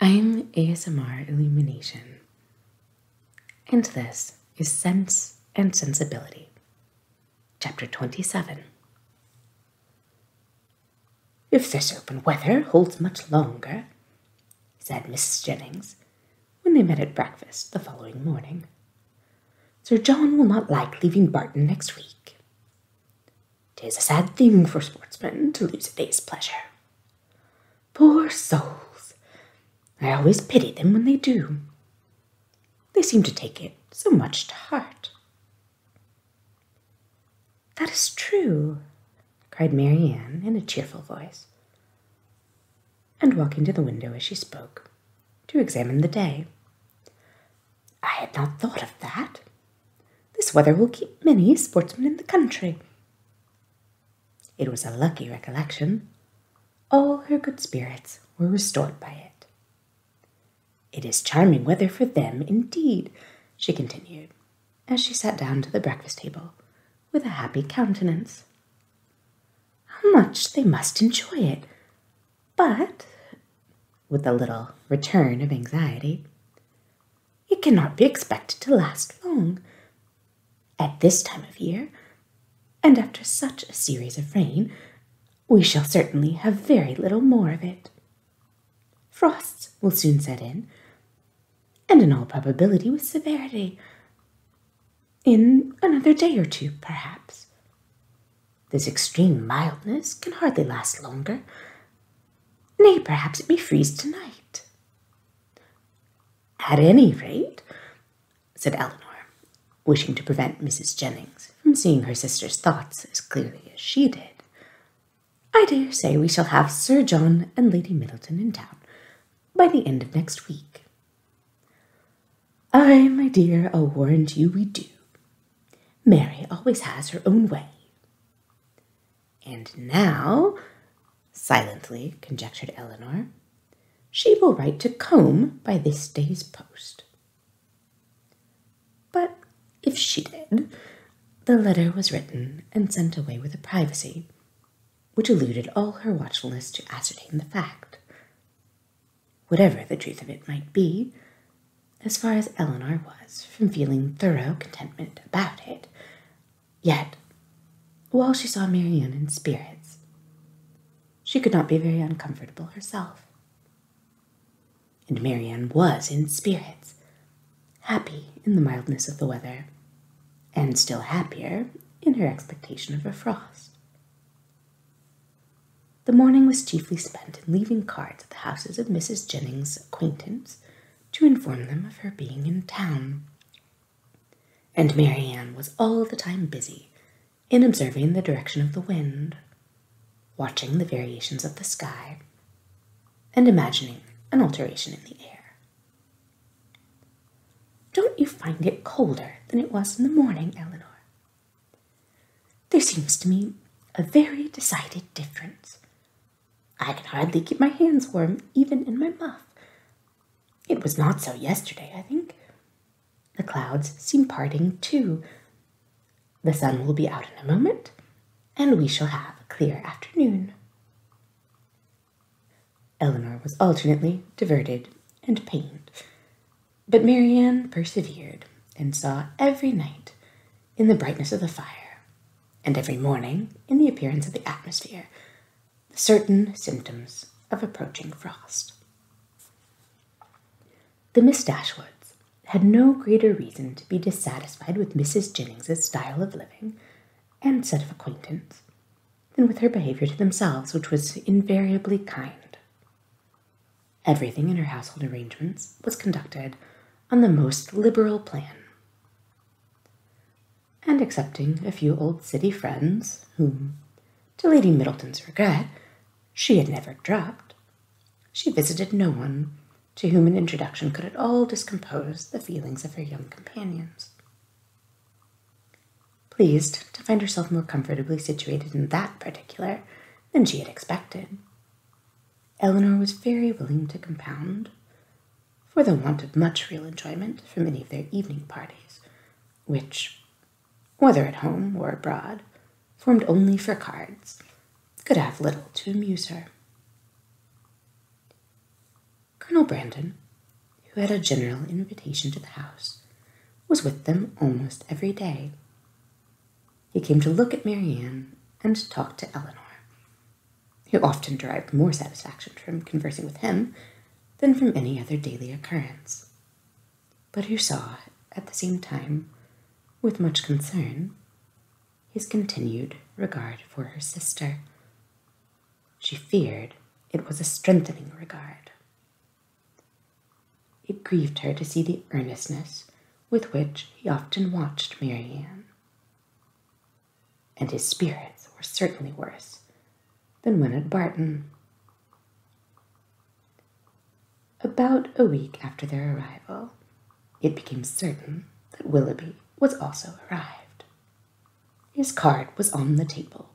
I'm ASMR Illumination, and this is Sense and Sensibility, Chapter 27. If this open weather holds much longer, said Mrs. Jennings when they met at breakfast the following morning, Sir John will not like leaving Barton next week. Tis a sad thing for sportsmen to lose a day's pleasure. Poor souls! I always pity them when they do. They seem to take it so much to heart. That is true, cried Marianne in a cheerful voice, and walking to the window as she spoke, to examine the day. I had not thought of that, this weather will keep many sportsmen in the country. It was a lucky recollection. All her good spirits were restored by it. It is charming weather for them, indeed, she continued, as she sat down to the breakfast table with a happy countenance. How much they must enjoy it! But, with a little return of anxiety, it cannot be expected to last long. At this time of year, and after such a series of rain, we shall certainly have very little more of it. Frosts will soon set in, and in all probability with severity, in another day or two, perhaps. This extreme mildness can hardly last longer, Nay, perhaps it may freeze tonight. At any rate, said Eleanor, wishing to prevent Mrs. Jennings from seeing her sister's thoughts as clearly as she did, I dare say we shall have Sir John and Lady Middleton in town by the end of next week. Ay, my dear, I'll warrant you we do. Mary always has her own way. And now, silently conjectured Eleanor, she will write to Combe by this day's post. But if she did, the letter was written and sent away with a privacy which eluded all her watchfulness to ascertain the fact. Whatever the truth of it might be, as far as Eleanor was from feeling thorough contentment about it. Yet, while she saw Marianne in spirits, she could not be very uncomfortable herself. And Marianne was in spirits, happy in the mildness of the weather, and still happier in her expectation of a frost. The morning was chiefly spent in leaving cards at the houses of Mrs. Jennings's acquaintance, to inform them of her being in town. And Marianne was all the time busy in observing the direction of the wind, watching the variations of the sky, and imagining an alteration in the air. Don't you find it colder than it was in the morning, Eleanor? There seems to me a very decided difference I can hardly keep my hands warm, even in my muff. It was not so yesterday, I think. The clouds seem parting too. The sun will be out in a moment, and we shall have a clear afternoon. Eleanor was alternately diverted and pained, but Marianne persevered and saw every night in the brightness of the fire, and every morning in the appearance of the atmosphere, the certain symptoms of approaching frost. The Miss Dashwoods had no greater reason to be dissatisfied with Mrs. Jennings's style of living and set of acquaintance than with her behavior to themselves, which was invariably kind. Everything in her household arrangements was conducted on the most liberal plan. And excepting a few old city friends, whom, to Lady Middleton's regret, she had never dropped, she visited no one to whom an introduction could at all discompose the feelings of her young companions. Pleased to find herself more comfortably situated in that particular than she had expected, Elinor was very willing to compound for the want of much real enjoyment from any of their evening parties, which, whether at home or abroad, formed only for cards, could have little to amuse her. Colonel Brandon, who had a general invitation to the house, was with them almost every day, he came to look at Marianne and talk to Eleanor, who often derived more satisfaction from conversing with him than from any other daily occurrence, but he saw, at the same time, with much concern, his continued regard for her sister. She feared it was a strengthening regard. It grieved her to see the earnestness with which he often watched Marianne, and his spirits were certainly worse than when at Barton. About a week after their arrival, it became certain that Willoughby was also arrived. His card was on the table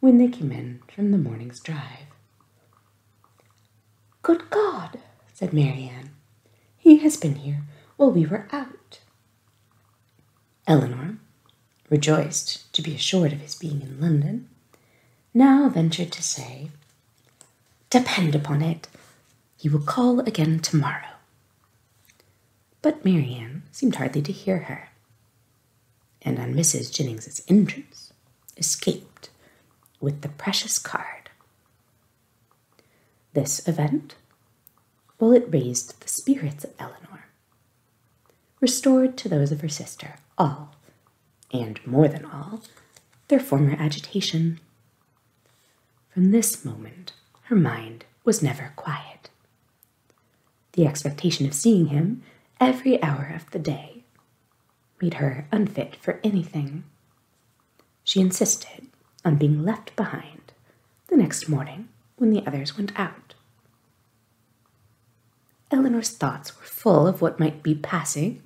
when they came in from the morning's drive. Good God, said Marianne. He has been here while we were out. Elinor, rejoiced to be assured of his being in London, now ventured to say, Depend upon it, he will call again tomorrow. But Marianne seemed hardly to hear her, and on Mrs. Jennings's entrance, escaped with the precious card. This event, while it raised the spirits of Eleanor, restored to those of her sister all, and more than all, their former agitation. From this moment, her mind was never quiet. The expectation of seeing him every hour of the day made her unfit for anything. She insisted on being left behind the next morning when the others went out. Eleanor's thoughts were full of what might be passing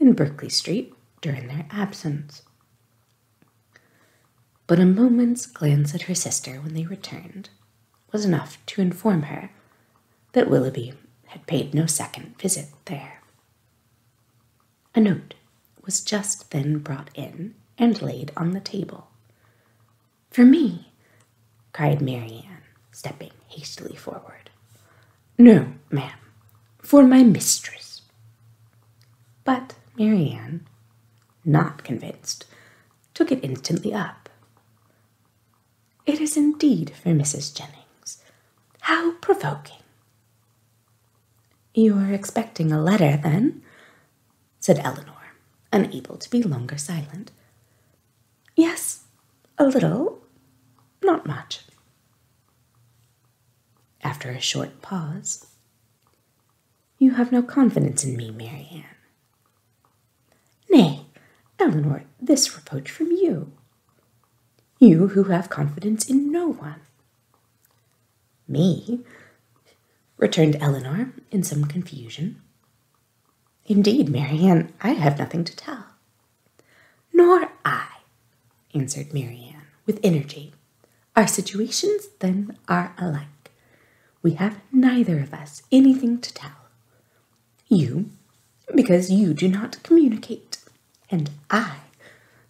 in Berkeley Street during their absence. But a moment's glance at her sister when they returned was enough to inform her that Willoughby had paid no second visit there. A note was just then brought in and laid on the table. For me, cried Marianne, stepping hastily forward. No, ma'am, for my mistress. But Marianne, not convinced, took it instantly up. It is indeed for Mrs. Jennings. How provoking! You are expecting a letter, then? said Eleanor, unable to be longer silent. Yes, a little, not much. After a short pause, you have no confidence in me, Marianne. Nay, Eleanor, this reproach from you, you who have confidence in no one. Me? returned Eleanor in some confusion. Indeed, Marianne, I have nothing to tell. Nor I, answered Marianne with energy. Our situations, then, are alike. We have neither of us anything to tell. You, because you do not communicate and I,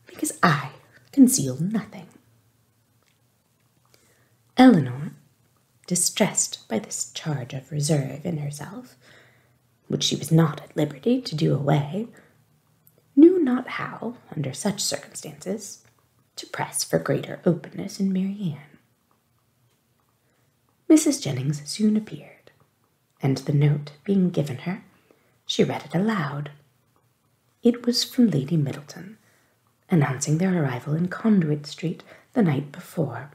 because I conceal nothing. Elinor, distressed by this charge of reserve in herself, which she was not at liberty to do away, knew not how, under such circumstances, to press for greater openness in Marianne. Mrs. Jennings soon appeared, and the note being given her, she read it aloud. It was from Lady Middleton, announcing their arrival in Conduit Street the night before,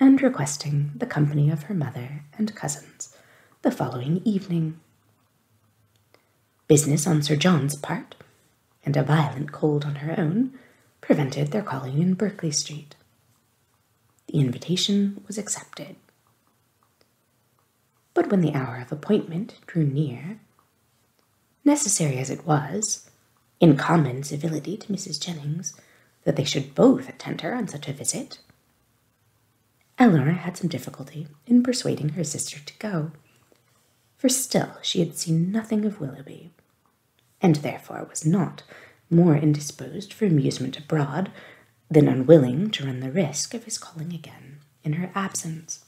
and requesting the company of her mother and cousins the following evening. Business on Sir John's part, and a violent cold on her own, prevented their calling in Berkeley Street. The invitation was accepted. But when the hour of appointment drew near, necessary as it was, in common civility to Mrs. Jennings, that they should both attend her on such a visit, Eleanor had some difficulty in persuading her sister to go, for still she had seen nothing of Willoughby, and therefore was not more indisposed for amusement abroad than unwilling to run the risk of his calling again in her absence.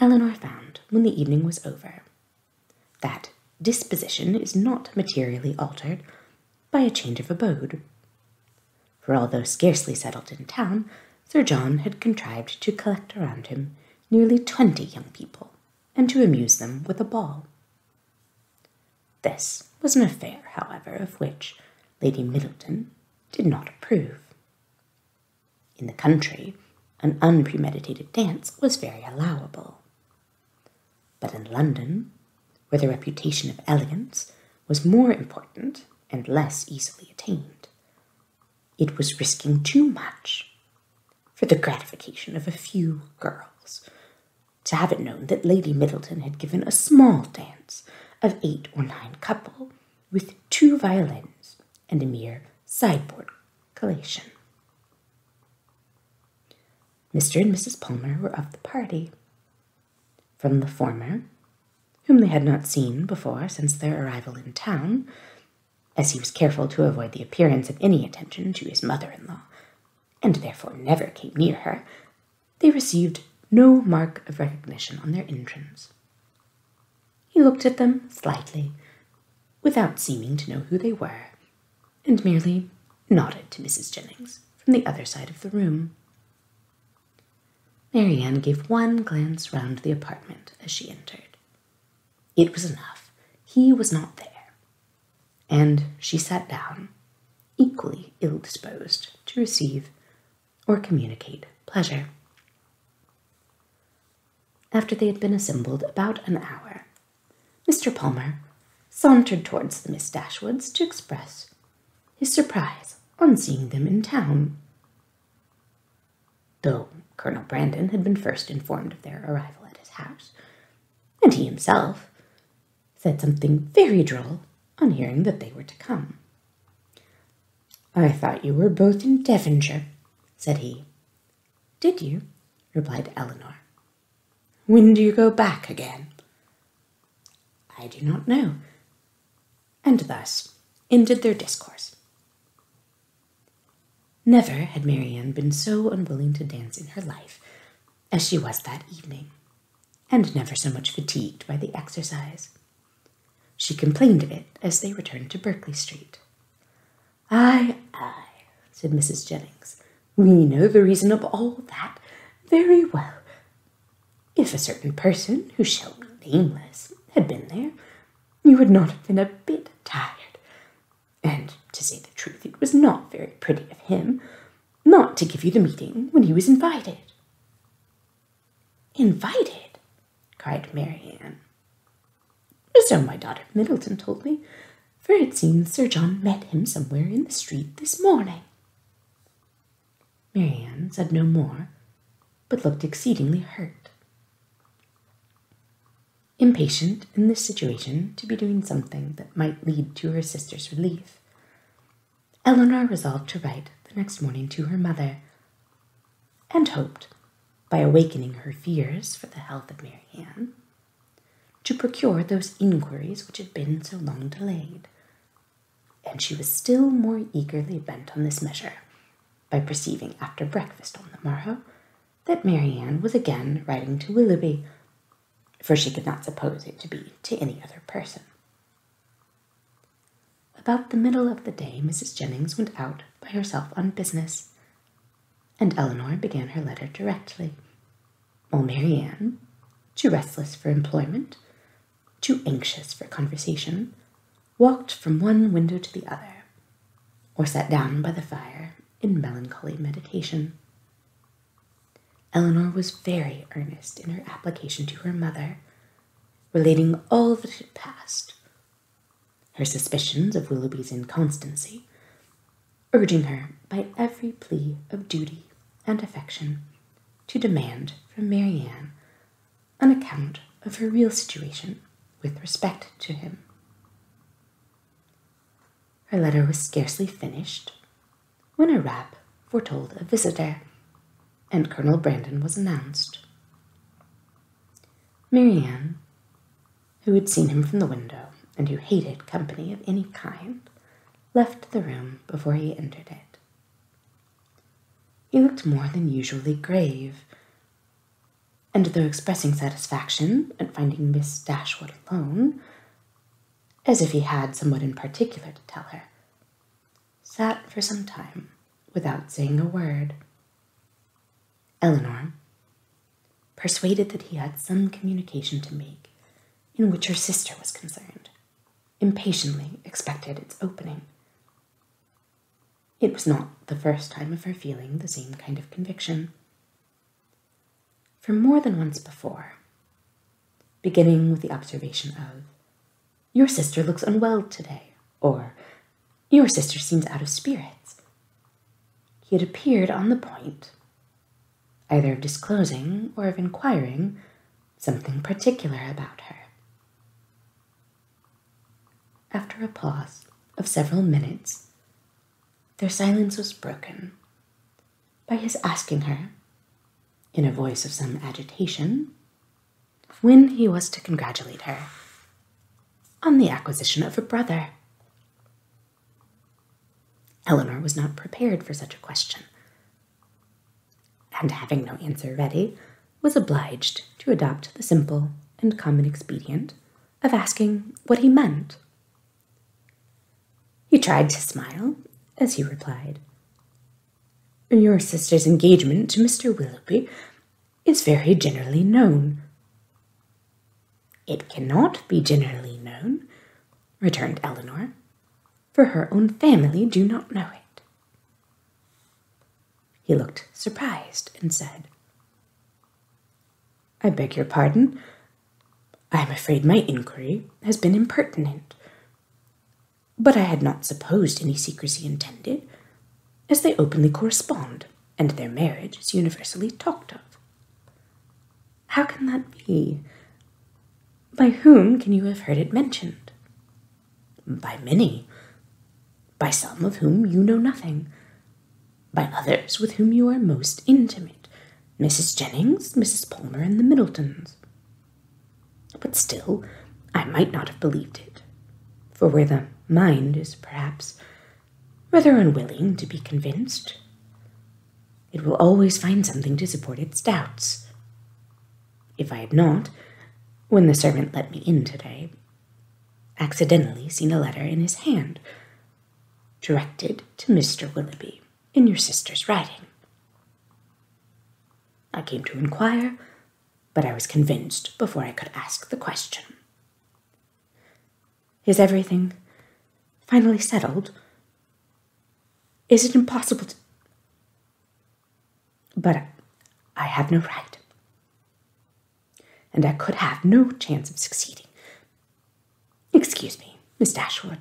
Eleanor found, when the evening was over, that disposition is not materially altered by a change of abode. For although scarcely settled in town, Sir John had contrived to collect around him nearly twenty young people, and to amuse them with a ball. This was an affair, however, of which Lady Middleton did not approve. In the country, an unpremeditated dance was very allowable. But in London, where the reputation of elegance was more important and less easily attained, it was risking too much for the gratification of a few girls to have it known that Lady Middleton had given a small dance of eight or nine couple, with two violins and a mere sideboard collation. Mr. and Mrs. Palmer were of the party. From the former, whom they had not seen before since their arrival in town, as he was careful to avoid the appearance of any attention to his mother in law, and therefore never came near her, they received no mark of recognition on their entrance. He looked at them slightly, without seeming to know who they were, and merely nodded to Mrs. Jennings from the other side of the room. Marianne gave one glance round the apartment as she entered. It was enough. He was not there and she sat down, equally ill disposed to receive or communicate pleasure. After they had been assembled about an hour, Mr. Palmer sauntered towards the Miss Dashwoods to express his surprise on seeing them in town. Though Colonel Brandon had been first informed of their arrival at his house, and he himself said something very droll on hearing that they were to come. I thought you were both in Devonshire, said he. Did you? replied Eleanor. When do you go back again? I do not know. And thus ended their discourse. Never had Marianne been so unwilling to dance in her life as she was that evening and never so much fatigued by the exercise. She complained of it as they returned to Berkeley Street. Ay, ay, said Mrs. Jennings. We know the reason of all that very well. If a certain person, who shall be nameless, had been there, you would not have been a bit tired. And to say the truth, it was not very pretty of him, not to give you the meeting when he was invited. Invited? cried Marianne. Ann. So my daughter Middleton told me, for it seems Sir John met him somewhere in the street this morning. Marianne said no more, but looked exceedingly hurt. Impatient in this situation to be doing something that might lead to her sister's relief, Eleanor resolved to write the next morning to her mother, and hoped, by awakening her fears for the health of Marianne, to procure those inquiries which had been so long delayed. And she was still more eagerly bent on this measure by perceiving after breakfast on the morrow that Marianne was again writing to Willoughby, for she could not suppose it to be to any other person. About the middle of the day, Mrs. Jennings went out by herself on business, and Eleanor began her letter directly, while oh, Marianne, too restless for employment, too anxious for conversation, walked from one window to the other, or sat down by the fire in melancholy meditation. Elinor was very earnest in her application to her mother, relating all that had passed, her suspicions of Willoughby's inconstancy, urging her by every plea of duty and affection to demand from Marianne an account of her real situation with respect to him. Her letter was scarcely finished when a rap foretold a visitor, and Colonel Brandon was announced. Marianne, who had seen him from the window and who hated company of any kind, left the room before he entered it. He looked more than usually grave, and though expressing satisfaction at finding Miss Dashwood alone, as if he had somewhat in particular to tell her, sat for some time without saying a word. Elinor, persuaded that he had some communication to make in which her sister was concerned, impatiently expected its opening. It was not the first time of her feeling the same kind of conviction for more than once before, beginning with the observation of, Your sister looks unwell today, or Your sister seems out of spirits. He had appeared on the point, either of disclosing or of inquiring something particular about her. After a pause of several minutes, their silence was broken by his asking her, in a voice of some agitation, when he was to congratulate her on the acquisition of a brother. Eleanor was not prepared for such a question, and having no answer ready, was obliged to adopt the simple and common expedient of asking what he meant he tried to smile as he replied, Your sister's engagement to Mr. Willoughby is very generally known. It cannot be generally known, returned Eleanor, for her own family do not know it. He looked surprised and said, I beg your pardon, I am afraid my inquiry has been impertinent. But I had not supposed any secrecy intended, as they openly correspond, and their marriage is universally talked of. How can that be? By whom can you have heard it mentioned? By many. By some of whom you know nothing. By others with whom you are most intimate, Mrs. Jennings, Mrs. Palmer, and the Middletons. But still, I might not have believed it, for where the mind is perhaps rather unwilling to be convinced, it will always find something to support its doubts. If I had not, when the servant let me in today, accidentally seen a letter in his hand, directed to Mr. Willoughby in your sister's writing. I came to inquire, but I was convinced before I could ask the question. Is everything finally settled? Is it impossible But I have no right. And I could have no chance of succeeding. Excuse me, Miss Dashwood.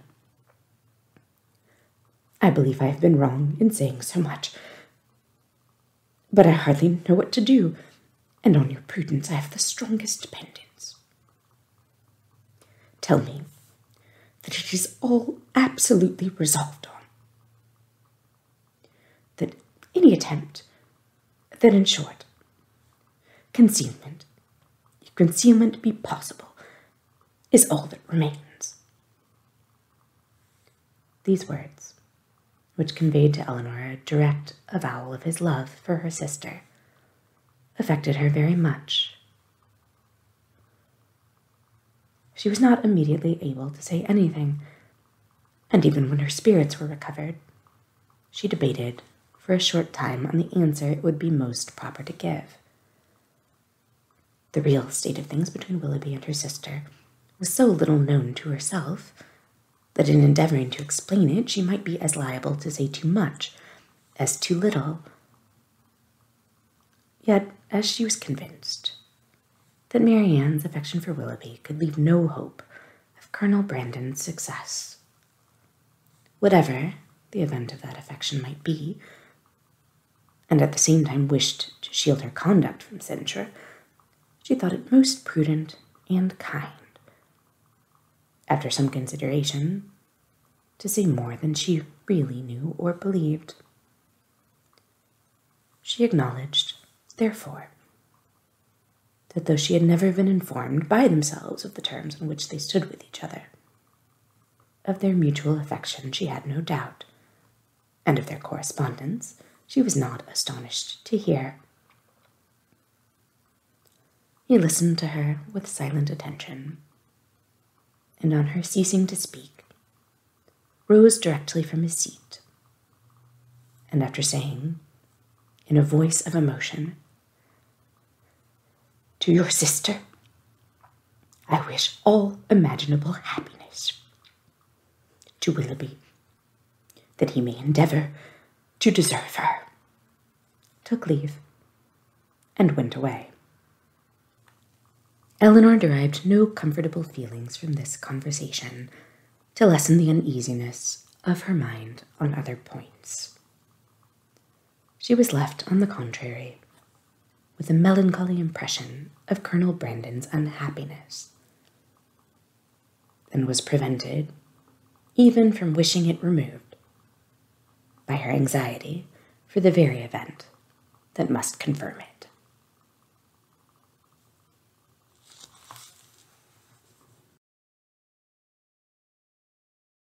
I believe I have been wrong in saying so much, but I hardly know what to do, and on your prudence I have the strongest dependence. Tell me that it is all absolutely resolved on, that any attempt, that in short, concealment, concealment be possible, is all that remains. These words, which conveyed to Eleanor a direct avowal of his love for her sister, affected her very much. She was not immediately able to say anything, and even when her spirits were recovered, she debated for a short time on the answer it would be most proper to give. The real state of things between Willoughby and her sister was so little known to herself that in endeavoring to explain it, she might be as liable to say too much as too little. Yet, as she was convinced that Marianne's affection for Willoughby could leave no hope of Colonel Brandon's success, whatever the event of that affection might be, and at the same time wished to shield her conduct from censure, she thought it most prudent and kind, after some consideration, to say more than she really knew or believed. She acknowledged, therefore, that though she had never been informed by themselves of the terms on which they stood with each other, of their mutual affection, she had no doubt, and of their correspondence, she was not astonished to hear. He listened to her with silent attention, and on her ceasing to speak, rose directly from his seat, and after saying, in a voice of emotion, to your sister, I wish all imaginable happiness. To Willoughby, that he may endeavour to deserve her. Took leave and went away. Elinor derived no comfortable feelings from this conversation to lessen the uneasiness of her mind on other points. She was left, on the contrary, with a melancholy impression of Colonel Brandon's unhappiness, and was prevented, even from wishing it removed, by her anxiety for the very event that must confirm it.